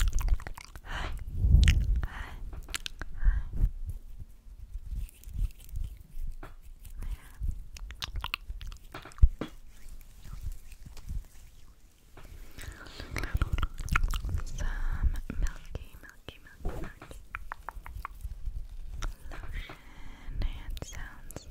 Hi. Hi. Some milky, milky, milky lotion and sounds.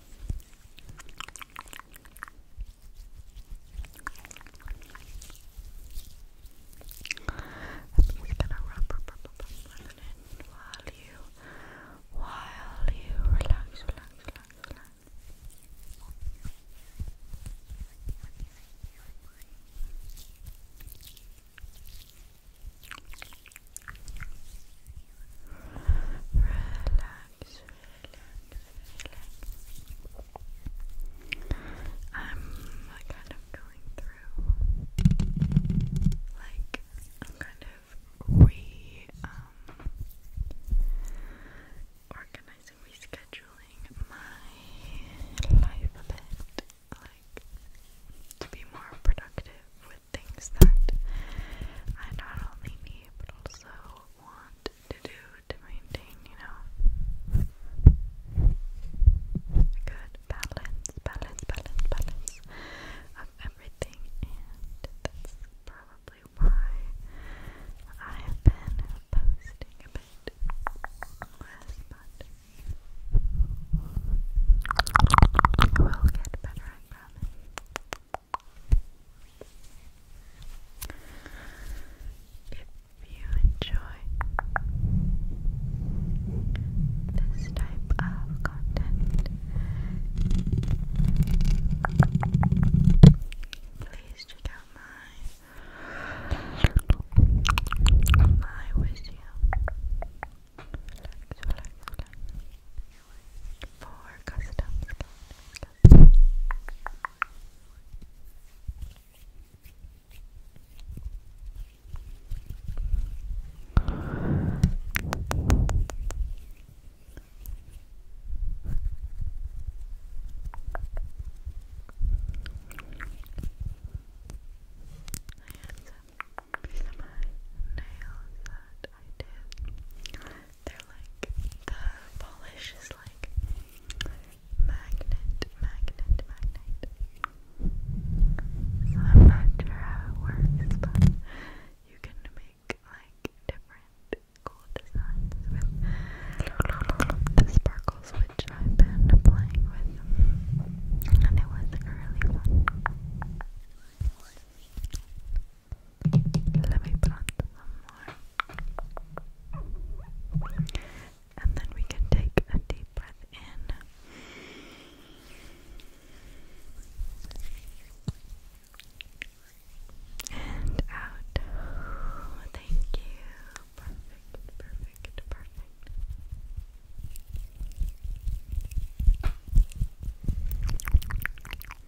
I'm gonna rub, rub, rub, rub, rub it in you, while you relax, relax, relax, relax. Relax, relax, relax. I'm kind of going through, like, I'm kind of re, um, rescheduling my life a bit, like, to be more productive with things that I not only need but also want to do to maintain, you know, a good balance, balance, balance, balance of everything, and that's probably why I have been posting a bit less, but. It will get better, if you enjoy this type of content, please check out my my wish for custom slot. I had some, some nails that I did they're like the polish is like magnet, magnet, magnet. So I'm not sure how it works, but you can make like different cool designs with the sparkles, which I've been playing with, and it was really fun. Let me plant some more. And then we can take a deep breath in. And out. thank you. Perfect, perfect, perfect.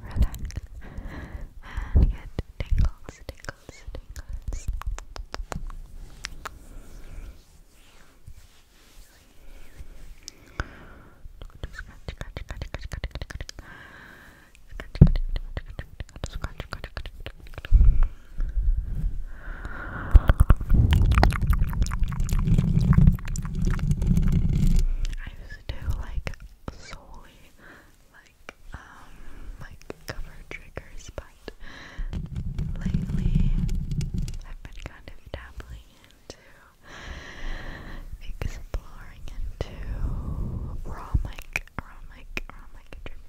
relax, and get tingles, tingles, tingles just do like solely like um like cover triggers but lately I've been kind of dabbling into exploring into raw mic raw mic raw mic drip.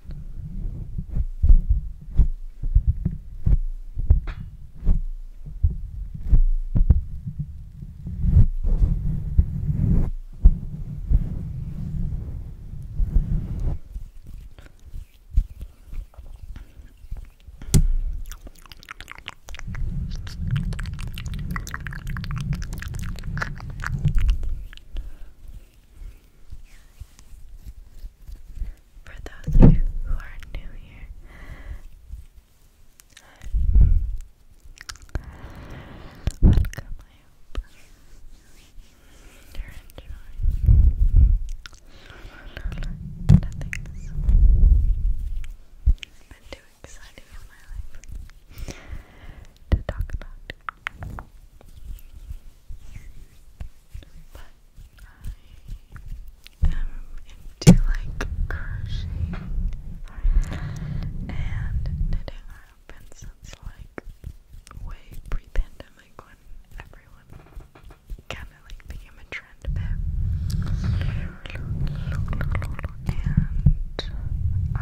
For those of you who are new here, Welcome, you're enjoying nothing's been too exciting in my life to talk about. But um, into like crocheting and knitting around since like way pre-pandemic when everyone kind of like became a trend And I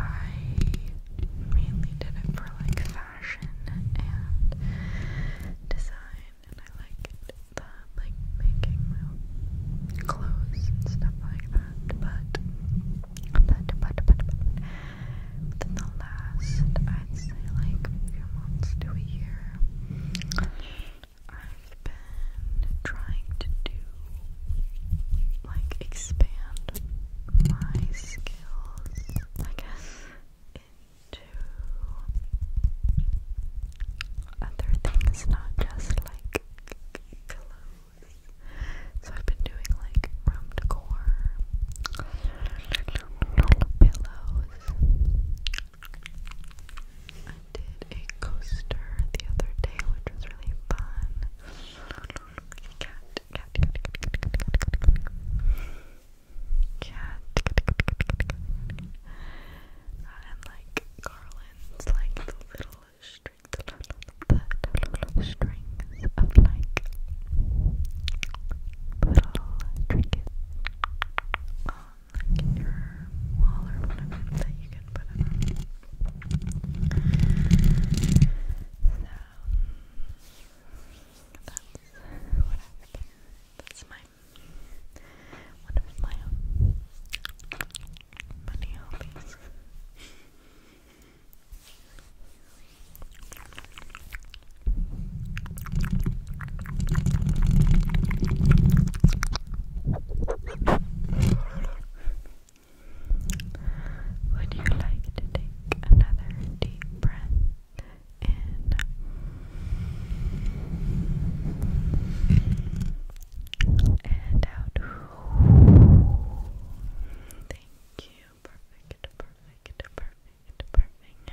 mainly did it for like fashion and design and I like it like making my own clothes and stuff like that, but but but but, but within the last I'd say like few months to a year I've been trying to do like expand my skills I guess into other things, not just like clothes. So I've been doing like room decor, pillows. I did a coaster the other day, which was really fun uh, and like garlands, like the little string, the little, the of like little trinkets on like your wall or whatever that you can put it So that's what I would That's my one Would you like to take another deep breath in? and out. Thank you. Perfect, perfect, perfect, perfect.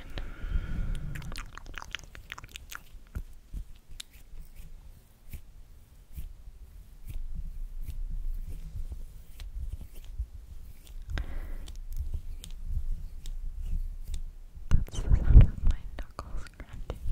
That's the sound of my knuckles cracking.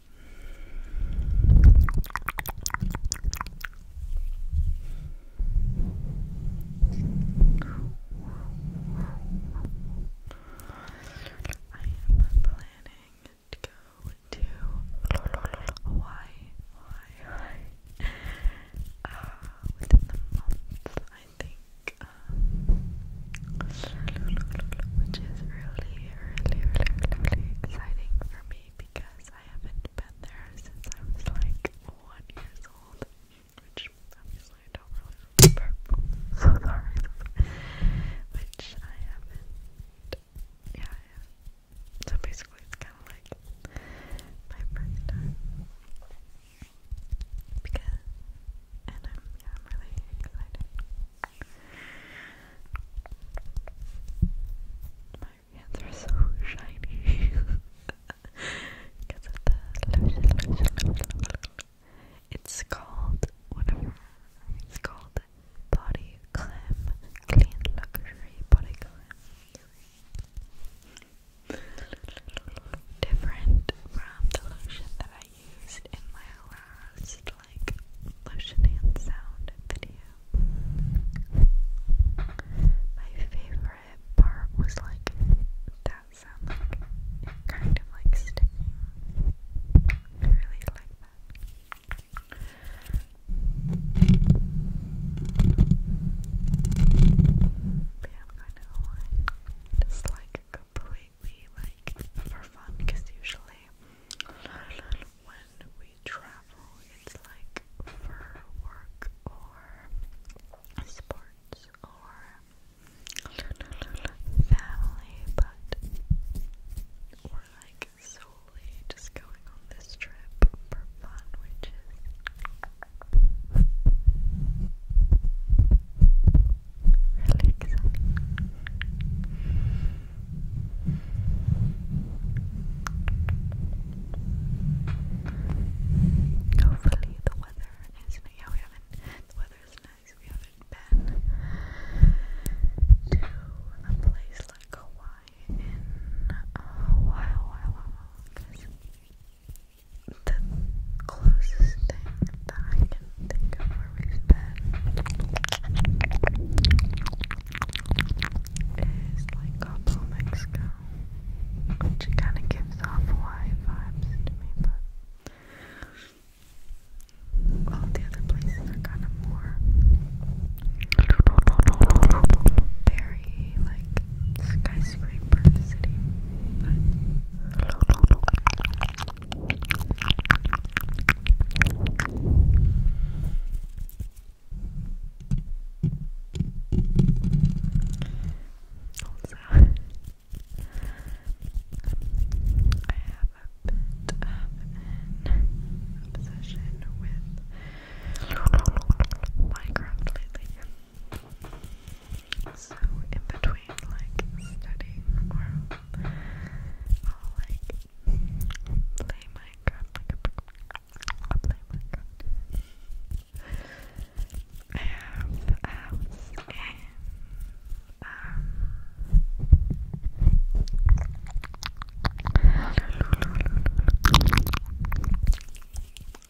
I am planning to go to Hawaii, within the month, I think, um, which is really really, really, really exciting for me because I haven't been there since I was like one years old, which obviously I don't really remember. so sorry. which I haven't. Yeah, So basically, it's kind of like my first Because, and I'm, yeah, I'm really excited. My hands are so shiny because of the lotion, It's called whatever. It's called Body Clam Clean Luxury Body Glam. Different from the lotion that I used in my last like lotion hand sound video. My favorite part was like that sound kind of like sticking. I really like that. But i kind of like just like completely like for fun because usually when we travel it's like for work or sports or family but we're like solely just going on this trip for fun which is Hopefully the weather is nice. Yeah, we haven't. The weather is nice. We haven't been to a place like Hawaii in a while, while, while. Because the closest thing that I can can think of where we've is like Cabo, Mexico, which kind of gives off Hawaii vibes to me, but all the other places are kind of more very like skyscraper city, also, I have a bit of an obsession with Minecraft lately. So in between like studying or like Play Minecraft. Um,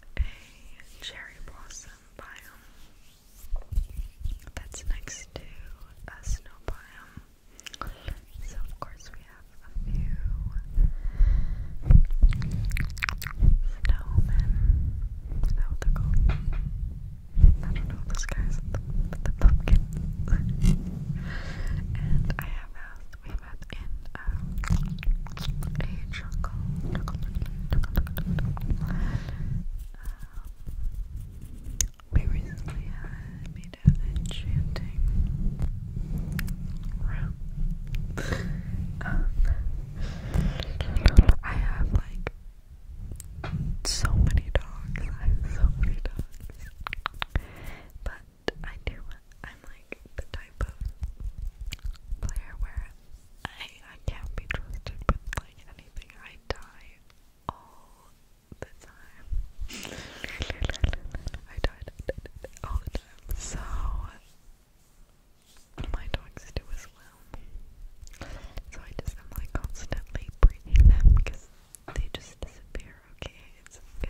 a cherry blossom biome that's next to a snow biome so of course we have a few snowmen. Is that they called? I don't know those guys with the, pumpkins. and I have asked, we met in um, a jungle. Um, we recently had made an enchanting room. Um, I have like so many dogs. I have so many dogs. But I do, I'm like the type of player where I, I can't be trusted with like anything. I die the time. I died all the time. So my dogs do as well. So I just am like constantly breeding them because they just disappear, okay?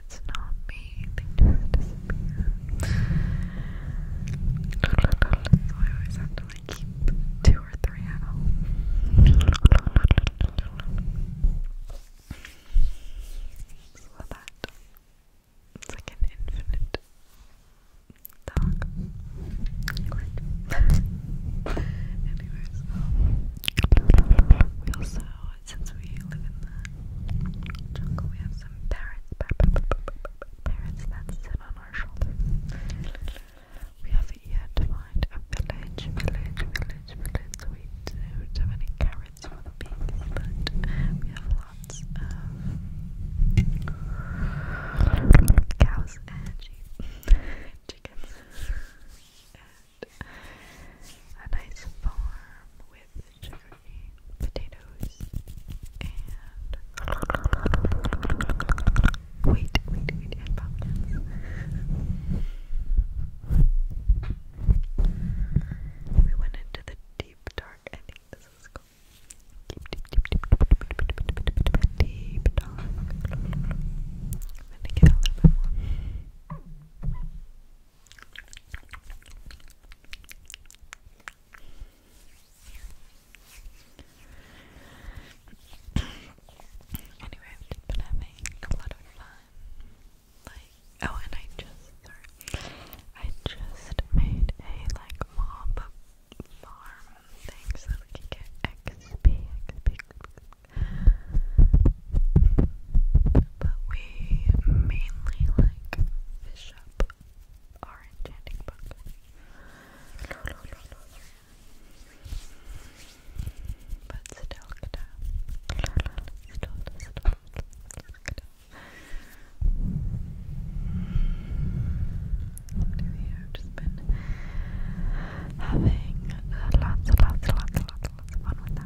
It's not me, So I always have to like keep two or three so that it's like an infinite dog. Anyways, we also, since we live in the jungle, we have some parrots. Parrots that sit on our shoulders. We haven't yet found a village, village, village, village, we don't have any carrots for the pigs, but we have lots of cows and sheep chickens and a nice farm with sugarcane, potatoes, Wait, wait, wait, We went into the deep dark. I this is cool. Deep, deep, deep, deep, deep, deep, deep, deep, deep, deep, deep dark. I'm gonna get a little bit more. Anyway, I've been having a lot of fun. Like, oh, and I just, sorry, I just made a like mob farm thing so we can get XP. But we mainly like fish up our enchanting book. But still good. Still, still, I've just been having lots, lots, lots, lots, lots, lots of fun with that.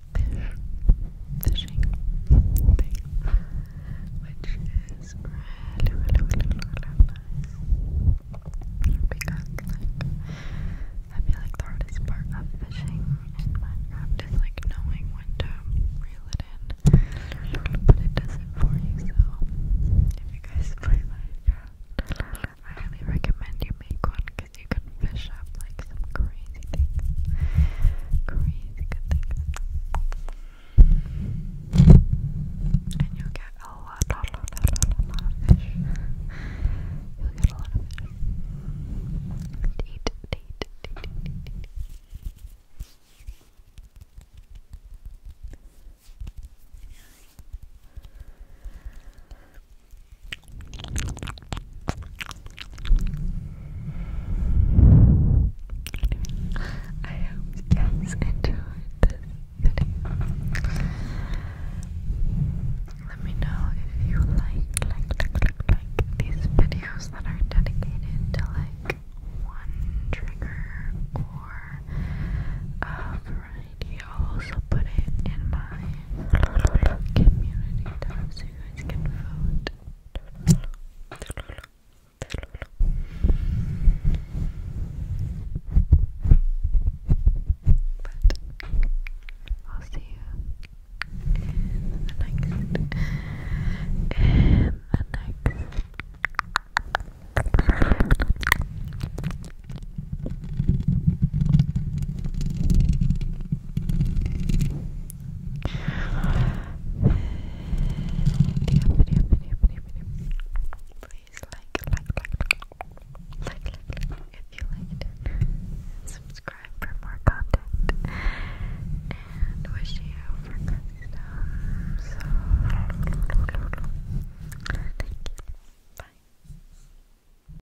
fish fishing which is really, really, really, really nice because, I feel like the hardest part of fishing is like knowing when to reel it in, but it does it for you. So, if you guys play Minecraft, I highly recommend you make one because you can fish up like some crazy things. Crazy good things. And you'll get a lot, a lot, lot, lot, lot of fish. You'll get a lot of fish. I hope you guys enjoyed this Let me know if you like, like, like, like these videos that are dedicated to like one trigger or a variety I'll also put it in my community so you guys can vote. But I'll see you in the next in the next Please like, like, like, like, like, if you liked it. subscribe for more content. And wish you for customs. Thank you. Bye.